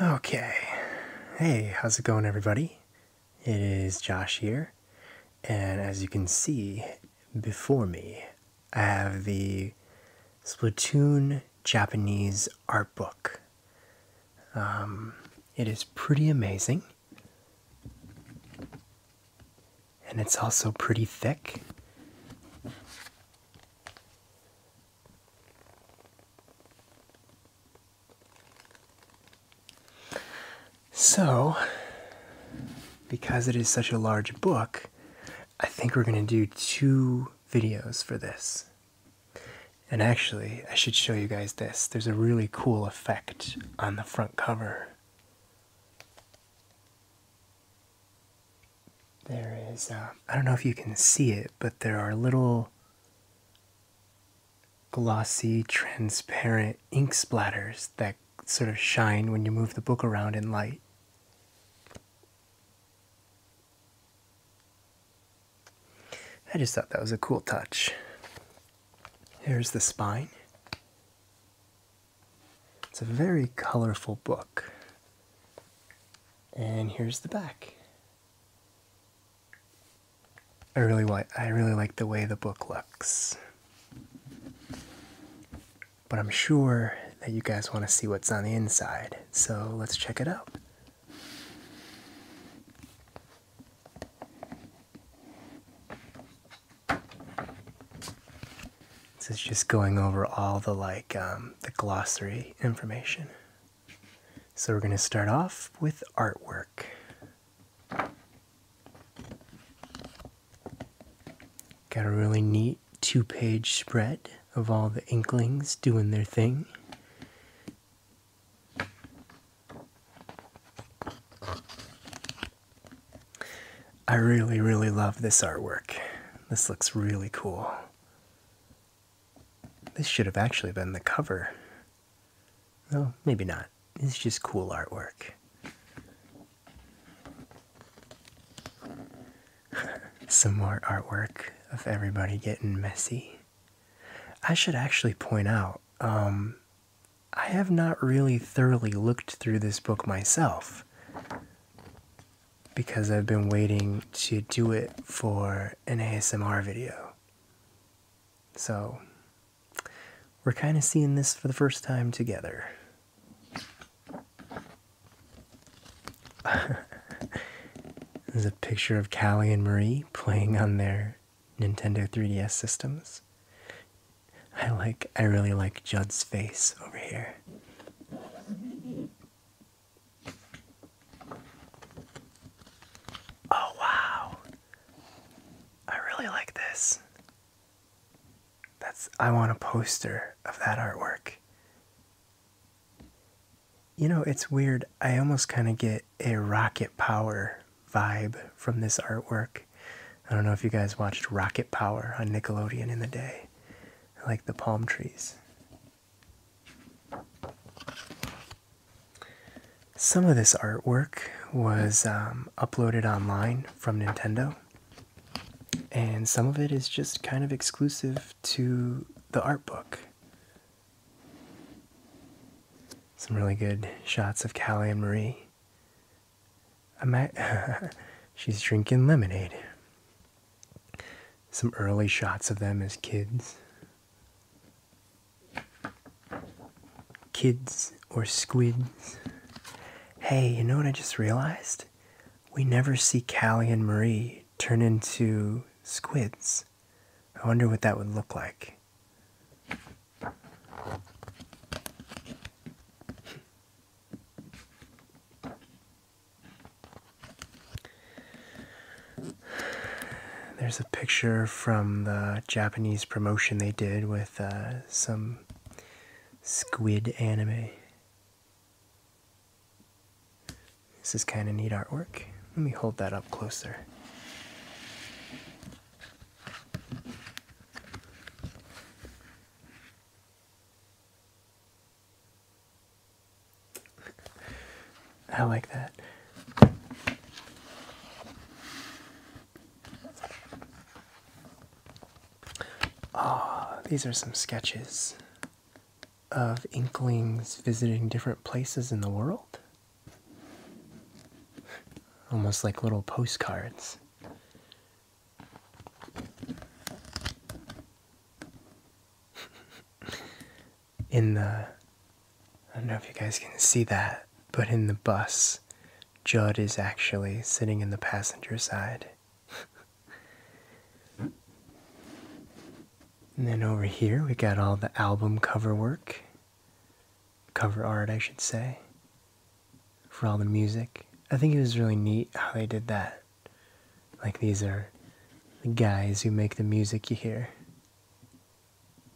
Okay. Hey, how's it going, everybody? It is Josh here. And as you can see before me, I have the Splatoon Japanese art book. Um, it is pretty amazing and it's also pretty thick. So, because it is such a large book, I think we're going to do two videos for this. And actually, I should show you guys this. There's a really cool effect on the front cover. There is, um, I don't know if you can see it, but there are little glossy, transparent ink splatters that sort of shine when you move the book around in light. I just thought that was a cool touch. Here's the spine. It's a very colorful book. And here's the back. I really like I really like the way the book looks. But I'm sure that you guys want to see what's on the inside. So let's check it out. This is just going over all the like um, the glossary information. So we're going to start off with artwork. Got a really neat two-page spread of all the inklings doing their thing. I really, really love this artwork. This looks really cool. This should have actually been the cover. No, maybe not. It's just cool artwork. Some more artwork of everybody getting messy. I should actually point out um, I have not really thoroughly looked through this book myself because I've been waiting to do it for an ASMR video. So, we're kind of seeing this for the first time together. There's a picture of Callie and Marie playing on their Nintendo 3DS systems. I like I really like Judd's face over here. Oh wow. I really like this. That's I want a poster of that artwork. You know, it's weird. I almost kind of get a rocket power vibe from this artwork. I don't know if you guys watched Rocket Power on Nickelodeon in the day. like the palm trees. Some of this artwork was um, uploaded online from Nintendo, and some of it is just kind of exclusive to the art book. Some really good shots of Cali and Marie. She's drinking lemonade. Some early shots of them as kids. Kids or squids. Hey, you know what I just realized? We never see Callie and Marie turn into squids. I wonder what that would look like. There's a picture from the Japanese promotion they did with uh, some squid anime. This is kind of neat artwork. Let me hold that up closer. I like that. Ah, these are some sketches of Inklings visiting different places in the world almost like little postcards. in the, I don't know if you guys can see that, but in the bus, Judd is actually sitting in the passenger side. and then over here, we got all the album cover work cover art, I should say, for all the music. I think it was really neat how they did that. Like, these are the guys who make the music you hear.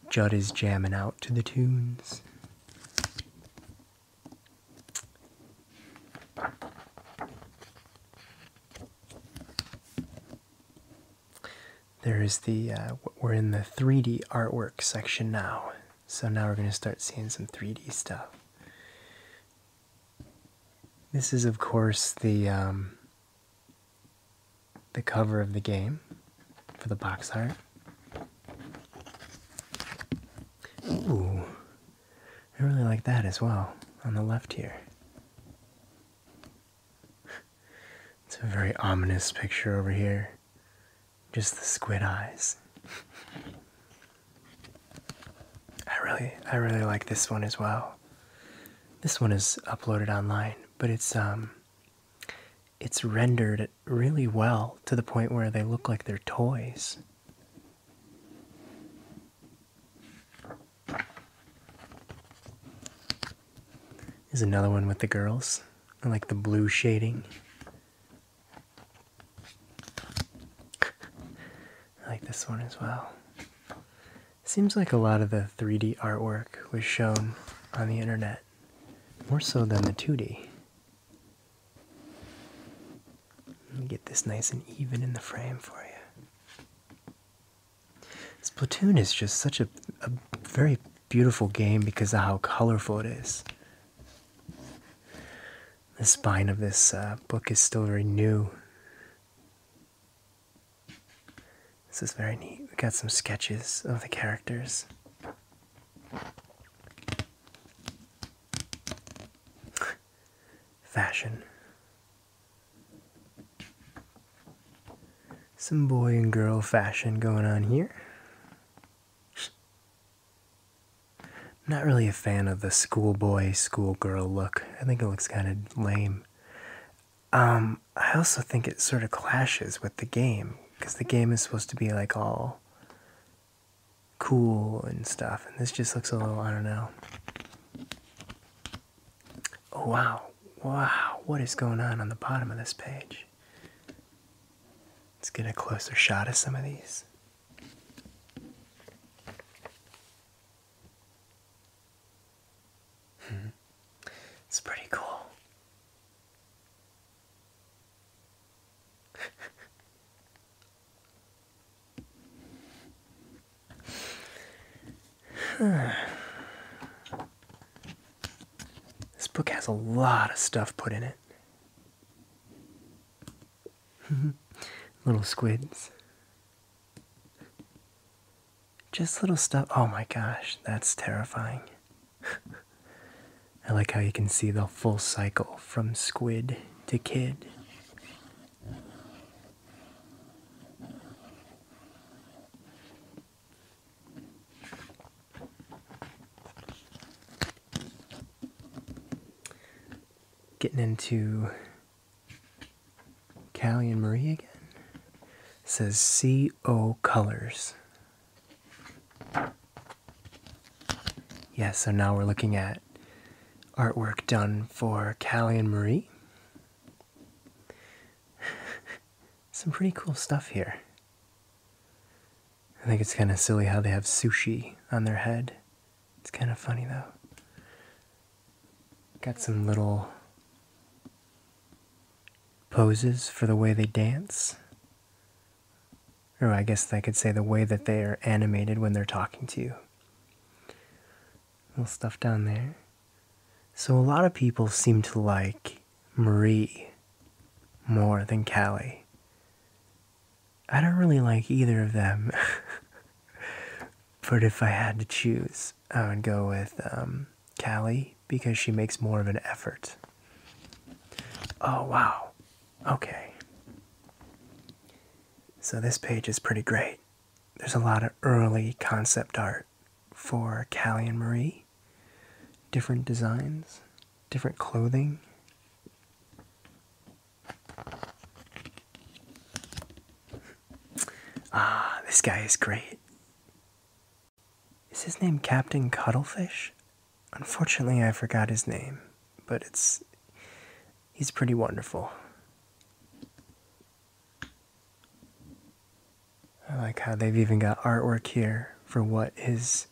Judd is jamming out to the tunes. There is the, uh, we're in the 3D artwork section now. So now we're going to start seeing some 3D stuff. This is, of course, the um, the cover of the game for the box art. Ooh, I really like that as well on the left here. It's a very ominous picture over here just the squid eyes. I really, I really like this one as well. This one is uploaded online, but it's um, it's rendered really well to the point where they look like they're toys. Is another one with the girls. I like the blue shading. I like this one as well. Seems like a lot of the 3D artwork was shown on the internet, more so than the 2D. Get this nice and even in the frame for you. Splatoon is just such a, a very beautiful game because of how colorful it is. The spine of this uh, book is still very new. This is very neat. We got some sketches of the characters. Fashion. Some boy and girl fashion going on here. Not really a fan of the schoolboy, schoolgirl look. I think it looks kind of lame. Um, I also think it sort of clashes with the game because the game is supposed to be like all cool and stuff, and this just looks a little, I don't know. Oh, wow. Wow, what is going on on the bottom of this page? Let's get a closer shot of some of these. Hmm. It's pretty cool. This book has a lot of stuff put in it. little squids. Just little stuff. Oh my gosh, that's terrifying. I like how you can see the full cycle from squid to kid. Getting into Callie and Marie again. says CO Colors. Yes, so now we're looking at artwork done for Callie and Marie. Some pretty cool stuff here. I think it's kind of silly how they have sushi on their head. It's kind of funny though. Got some little poses for the way they dance. Or I guess I could say the way that they are animated when they're talking to you. Little stuff down there. So a lot of people seem to like Marie more than Callie. I don't really like either of them, but if I had to choose, I would go with um, Callie because she makes more of an effort. Oh, wow. Okay. So this page is pretty great. There's a lot of early concept art for Callie and Marie different designs, different clothing. Ah, this guy is great. Is his name Captain Cuttlefish? Unfortunately, I forgot his name, but it's. he's pretty wonderful. I like how they've even got artwork here for what his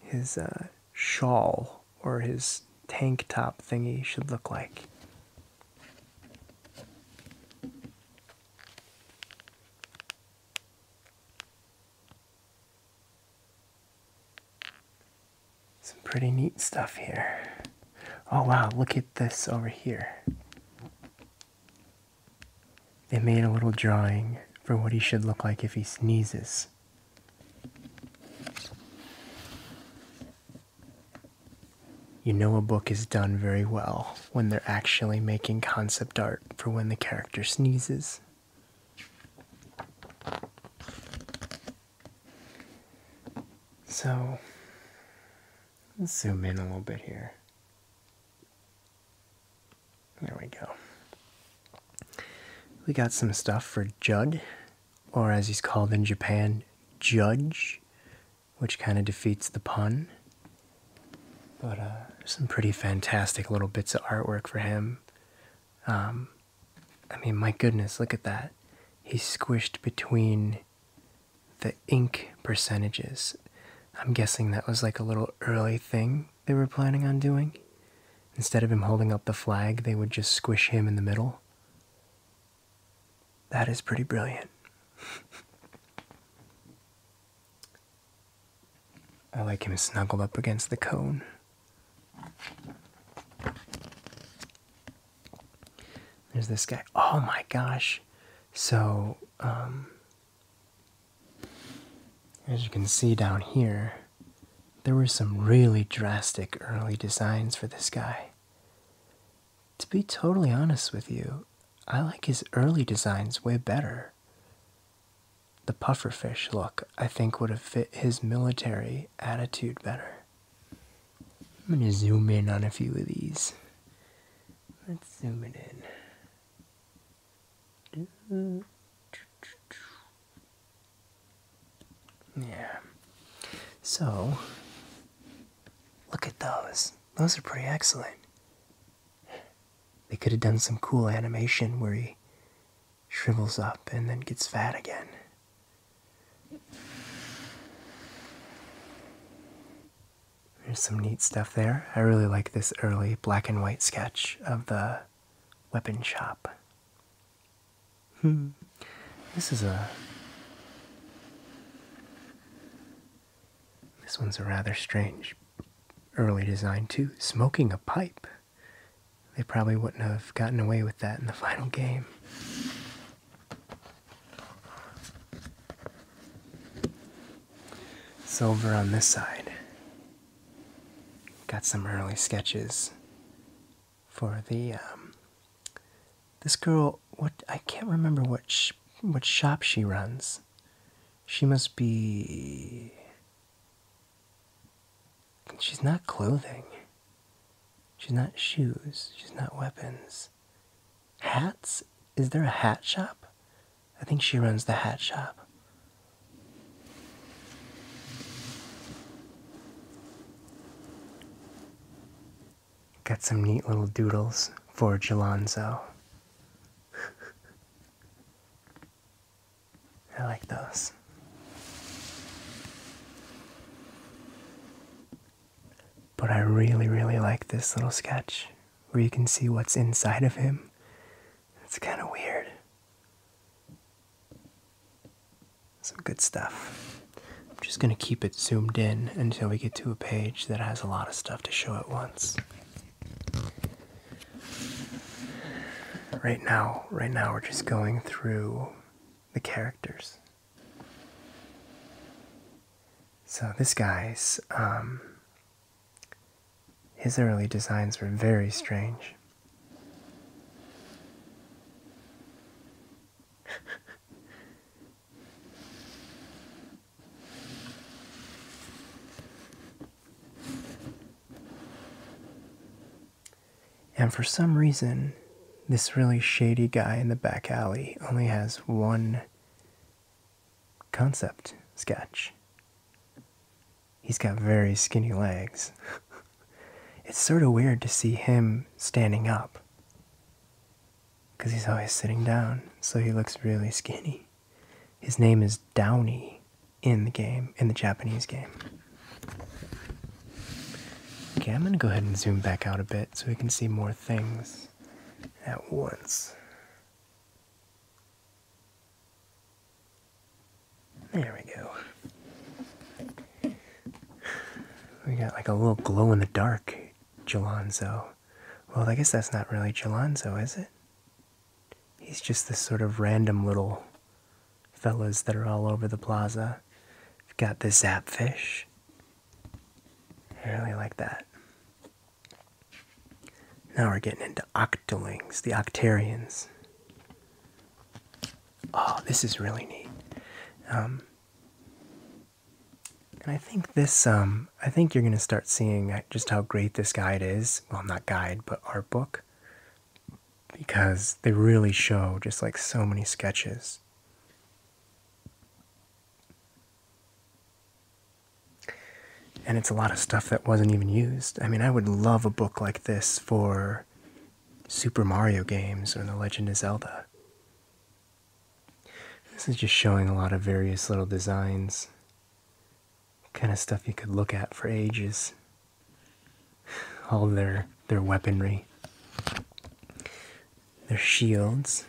his uh, shawl or his tank top thingy should look like. Some pretty neat stuff here. Oh wow, look at this over here. They made a little drawing for what he should look like if he sneezes. You know a book is done very well when they're actually making concept art for when the character sneezes. So, let's zoom in a little bit here. There we go. We got some stuff for Judd, or as he's called in Japan, Judge, which kind of defeats the pun. But uh, some pretty fantastic little bits of artwork for him. Um, I mean, my goodness, look at that. He squished between the ink percentages. I'm guessing that was like a little early thing they were planning on doing. Instead of him holding up the flag, they would just squish him in the middle. That is pretty brilliant. I like him snuggled up against the cone. There's this guy. Oh my gosh. So, um, as you can see down here, there were some really drastic early designs for this guy. To be totally honest with you, I like his early designs way better. The pufferfish look, I think, would have fit his military attitude better. I'm going to zoom in on a few of these. Let's zoom it in. Yeah. So, look at those. Those are pretty excellent. They could have done some cool animation where he shrivels up and then gets fat again. There's some neat stuff there. I really like this early black and white sketch of the weapon shop. Hmm. This is a. This one's a rather strange early design, too. Smoking a pipe. They probably wouldn't have gotten away with that in the final game. Silver on this side. Got some early sketches for the um, this girl. What I can't remember what what shop she runs. She must be. She's not clothing. She's not shoes. She's not weapons. Hats? Is there a hat shop? I think she runs the hat shop. Got some neat little doodles for Jalonzo. I like those. But I really, really like this little sketch where you can see what's inside of him. It's kind of weird. Some good stuff. I'm just going to keep it zoomed in until we get to a page that has a lot of stuff to show at once. Right now, right now we're just going through the characters. So this guy's um, his early designs were very strange. and for some reason, this really shady guy in the back alley only has one concept sketch. He's got very skinny legs. it's sort of weird to see him standing up because he's always sitting down, so he looks really skinny. His name is Downey in the game, in the Japanese game. Okay, I'm gonna go ahead and zoom back out a bit so we can see more things at once. There we go. We got like a little glow in the dark Jalonzo. Well, I guess that's not really Jalonzo, is it? He's just this sort of random little fellas that are all over the plaza. We've got the zapfish. I really like that. Now we're getting into Octolings, the Octarians. Oh, this is really neat. Um, and I think this, um, I think you're going to start seeing uh, just how great this guide is. Well, not guide, but art book. Because they really show just like so many sketches. And it's a lot of stuff that wasn't even used. I mean, I would love a book like this for Super Mario games or The Legend of Zelda. This is just showing a lot of various little designs. Kind of stuff you could look at for ages. All their their weaponry. Their shields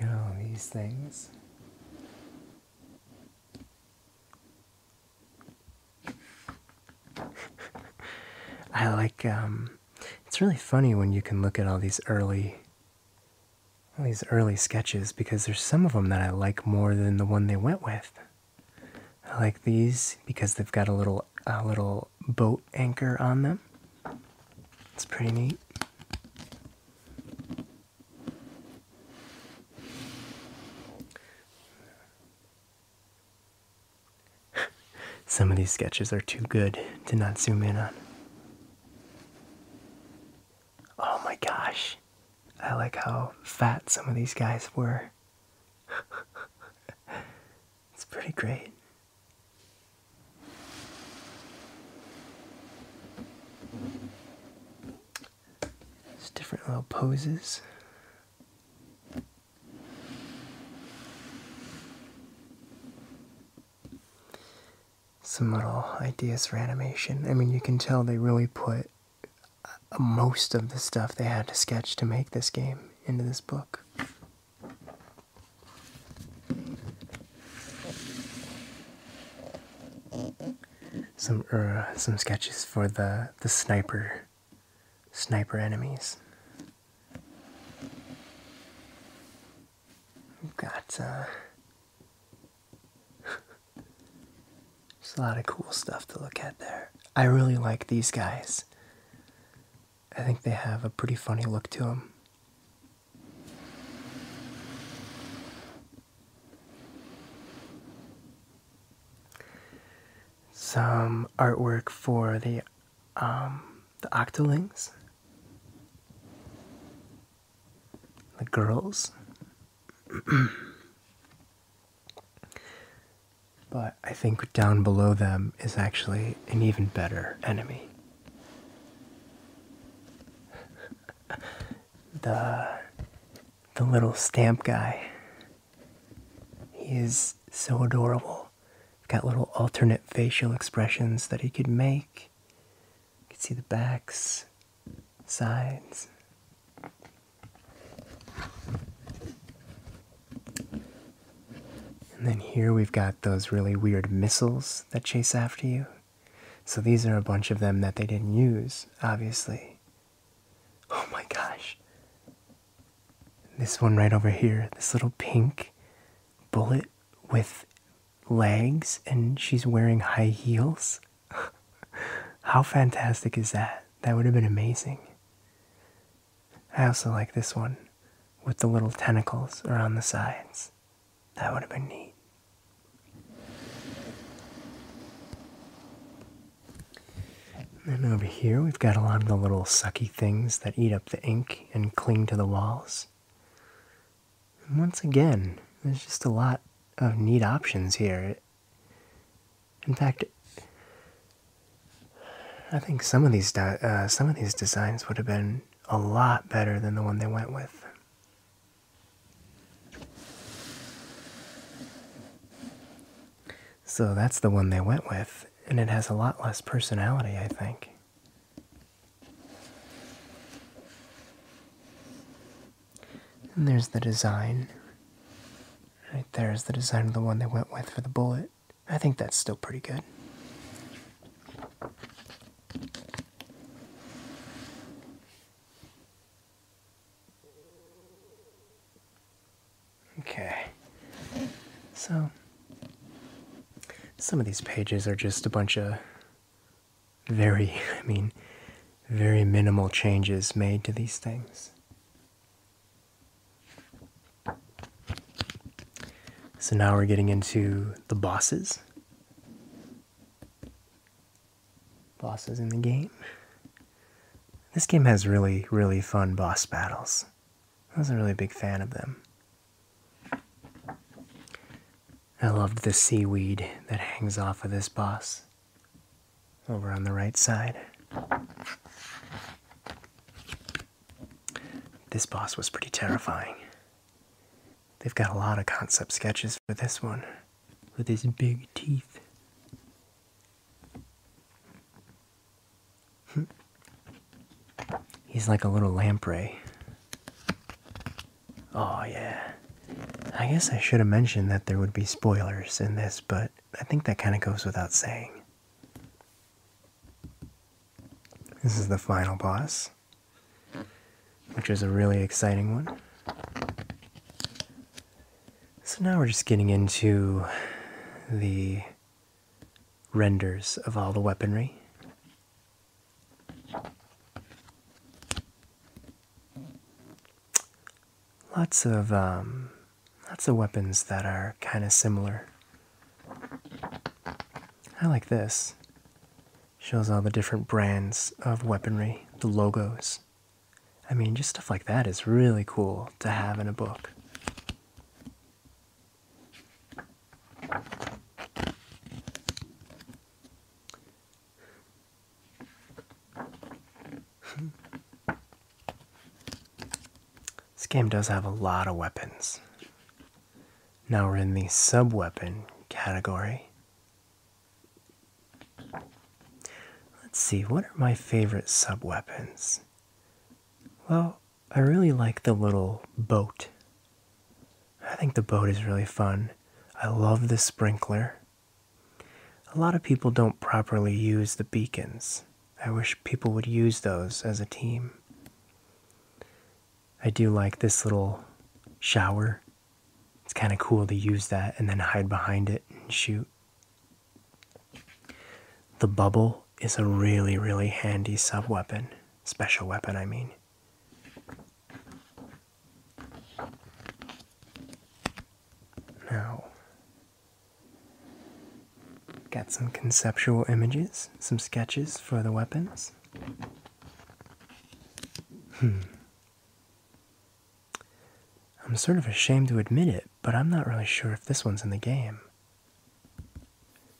you know, these things. I like, um, it's really funny when you can look at all these early, all these early sketches because there's some of them that I like more than the one they went with. I like these because they've got a little, a little boat anchor on them. It's pretty neat. Some of these sketches are too good to not zoom in on. Oh my gosh. I like how fat some of these guys were. it's pretty great. There's different little poses. Some little ideas for animation. I mean, you can tell they really put uh, most of the stuff they had to sketch to make this game into this book. Some er, some sketches for the the sniper sniper enemies. We've got just uh, a lot of cool stuff to look at there. I really like these guys. I think they have a pretty funny look to them. Some artwork for the um, the octolings, the girls. but I think down below them is actually an even better enemy. the the little stamp guy. He is so adorable. Got little alternate facial expressions that he could make. You can see the backs, sides. And then here we've got those really weird missiles that chase after you. So these are a bunch of them that they didn't use, obviously. Oh my gosh. This one right over here, this little pink bullet with legs, and she's wearing high heels. How fantastic is that? That would have been amazing. I also like this one with the little tentacles around the sides. That would have been neat. And then over here, we've got a lot of the little sucky things that eat up the ink and cling to the walls. And once again, there's just a lot of neat options here. In fact, I think some of these uh, some of these designs would have been a lot better than the one they went with. So that's the one they went with, and it has a lot less personality, I think. And there's the design. Right there is the design of the one they went with for the bullet. I think that's still pretty good. Okay. So, some of these pages are just a bunch of very, I mean, very minimal changes made to these things. So now we're getting into the bosses. Bosses in the game. This game has really, really fun boss battles. I was a really big fan of them. I loved the seaweed that hangs off of this boss over on the right side. This boss was pretty terrifying. They've got a lot of concept sketches for this one, with his big teeth. He's like a little lamprey. Oh, yeah. I guess I should have mentioned that there would be spoilers in this, but I think that kind of goes without saying. This is the final boss, which is a really exciting one. So now we're just getting into the renders of all the weaponry. Lots of um, lots of weapons that are kind of similar I like this. Shows all the different brands of weaponry, the logos. I mean, just stuff like that is really cool to have in a book. this game does have a lot of weapons. Now we're in the subweapon category. Let's see, what are my favorite subweapons? Well, I really like the little boat. I think the boat is really fun. I love the sprinkler. A lot of people don't properly use the beacons. I wish people would use those as a team. I do like this little shower. It's kind of cool to use that and then hide behind it and shoot. The bubble is a really, really handy sub weapon, special weapon, I mean. Now, got some conceptual images, some sketches for the weapons. Hmm. I'm sort of ashamed to admit it, but I'm not really sure if this one's in the game.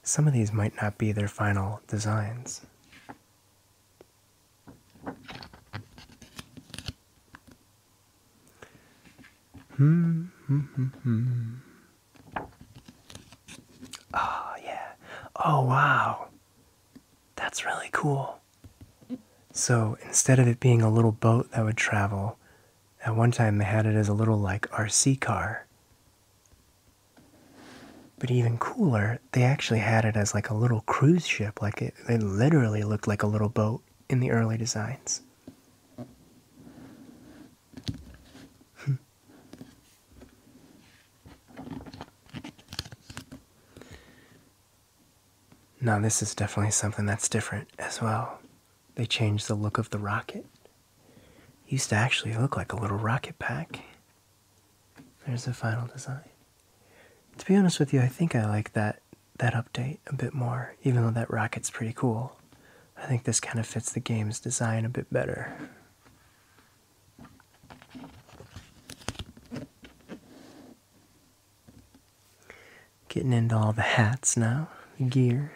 Some of these might not be their final designs. Hmm, hmm, hmm, hmm, hmm. Oh, yeah. Oh, wow. That's really cool. So instead of it being a little boat that would travel, at one time they had it as a little like RC car. But even cooler, they actually had it as like a little cruise ship. Like it, it literally looked like a little boat in the early designs. Hmm. Now, this is definitely something that's different as well. They changed the look of the rocket. used to actually look like a little rocket pack. There's the final design. To be honest with you, I think I like that that update a bit more, even though that rocket's pretty cool. I think this kind of fits the game's design a bit better. Getting into all the hats now, gear.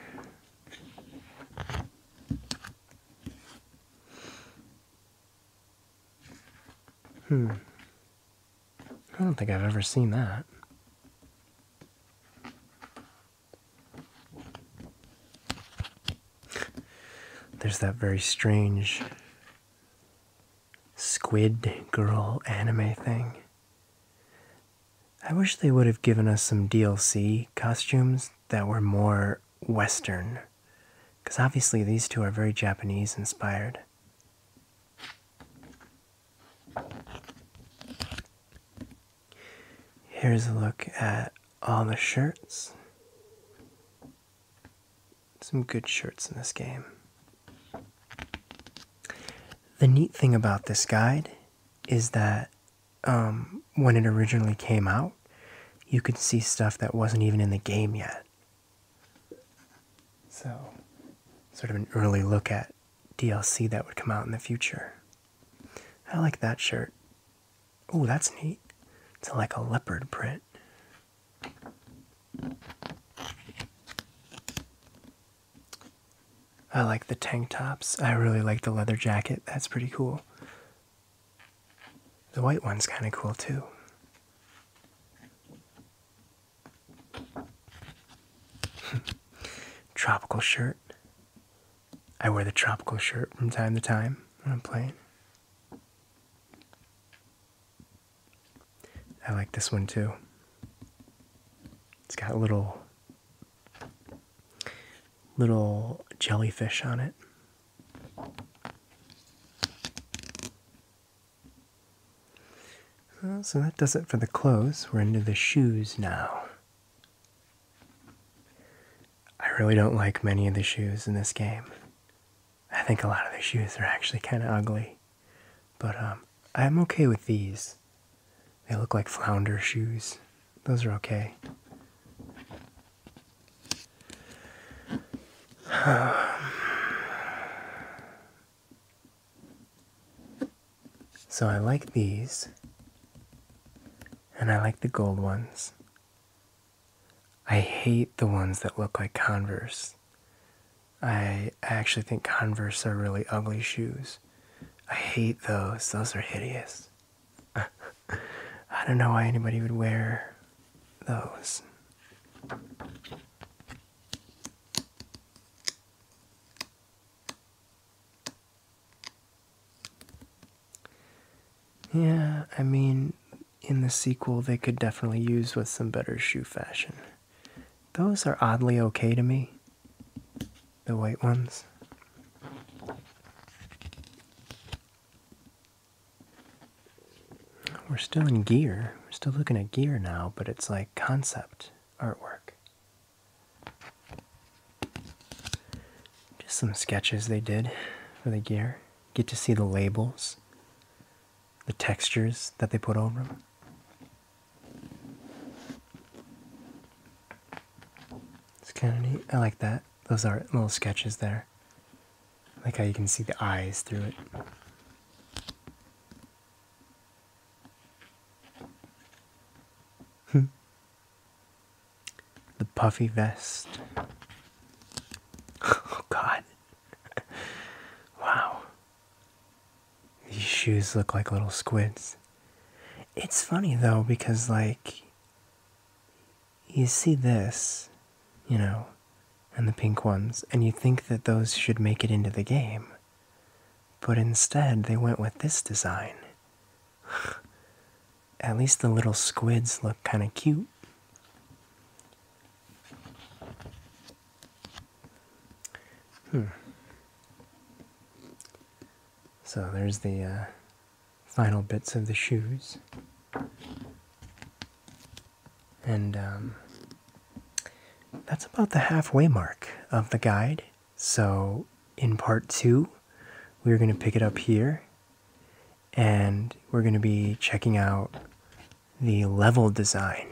Hmm. I don't think I've ever seen that. There's that very strange squid girl anime thing. I wish they would have given us some DLC costumes that were more Western, because obviously these two are very Japanese inspired. Here's a look at all the shirts. Some good shirts in this game. The neat thing about this guide is that um, when it originally came out, you could see stuff that wasn't even in the game yet. So, sort of an early look at DLC that would come out in the future. I like that shirt. Oh, that's neat. It's like a leopard print. I like the tank tops. I really like the leather jacket. That's pretty cool. The white one's kind of cool too. Tropical shirt. I wear the tropical shirt from time to time when I'm playing. I like this one too. It's got little little jellyfish on it. so that does it for the clothes. We're into the shoes now. I really don't like many of the shoes in this game. I think a lot of the shoes are actually kind of ugly. But um, I'm okay with these. They look like flounder shoes. Those are okay. so I like these and I like the gold ones. I hate the ones that look like Converse. I, actually think Converse are really ugly shoes. I hate those. Those are hideous. I don't know why anybody would wear those. Yeah, I mean, in the sequel, they could definitely use with some better shoe fashion. Those are oddly okay to me, the white ones. We're still in gear. We're still looking at gear now, but it's like concept artwork. Just some sketches they did for the gear. Get to see the labels, the textures that they put over them. It's kind of neat. I like that. Those are little sketches there. like how you can see the eyes through it. Hmm the puffy vest. Oh god. wow. These shoes look like little squids. It's funny though because like you see this, you know, and the pink ones and you think that those should make it into the game. But instead they went with this design At least the little squids look kind of cute. Hmm. So there's the uh, final bits of the shoes. And um, that's about the halfway mark of the guide. So, in part two, we're going to pick it up here and we're going to be checking out the level design,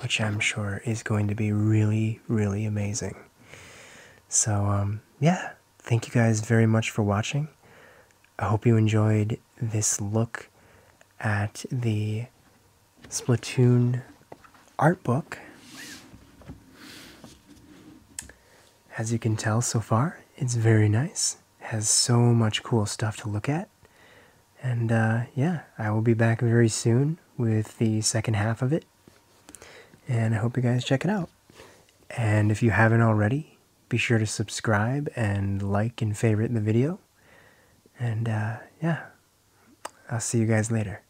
which I'm sure is going to be really, really amazing. So, um, yeah, thank you guys very much for watching. I hope you enjoyed this look at the Splatoon art book. As you can tell so far, it's very nice. Has so much cool stuff to look at. And uh, yeah, I will be back very soon with the second half of it. And I hope you guys check it out. And if you haven't already, be sure to subscribe and like and favorite the video. And uh, yeah, I'll see you guys later.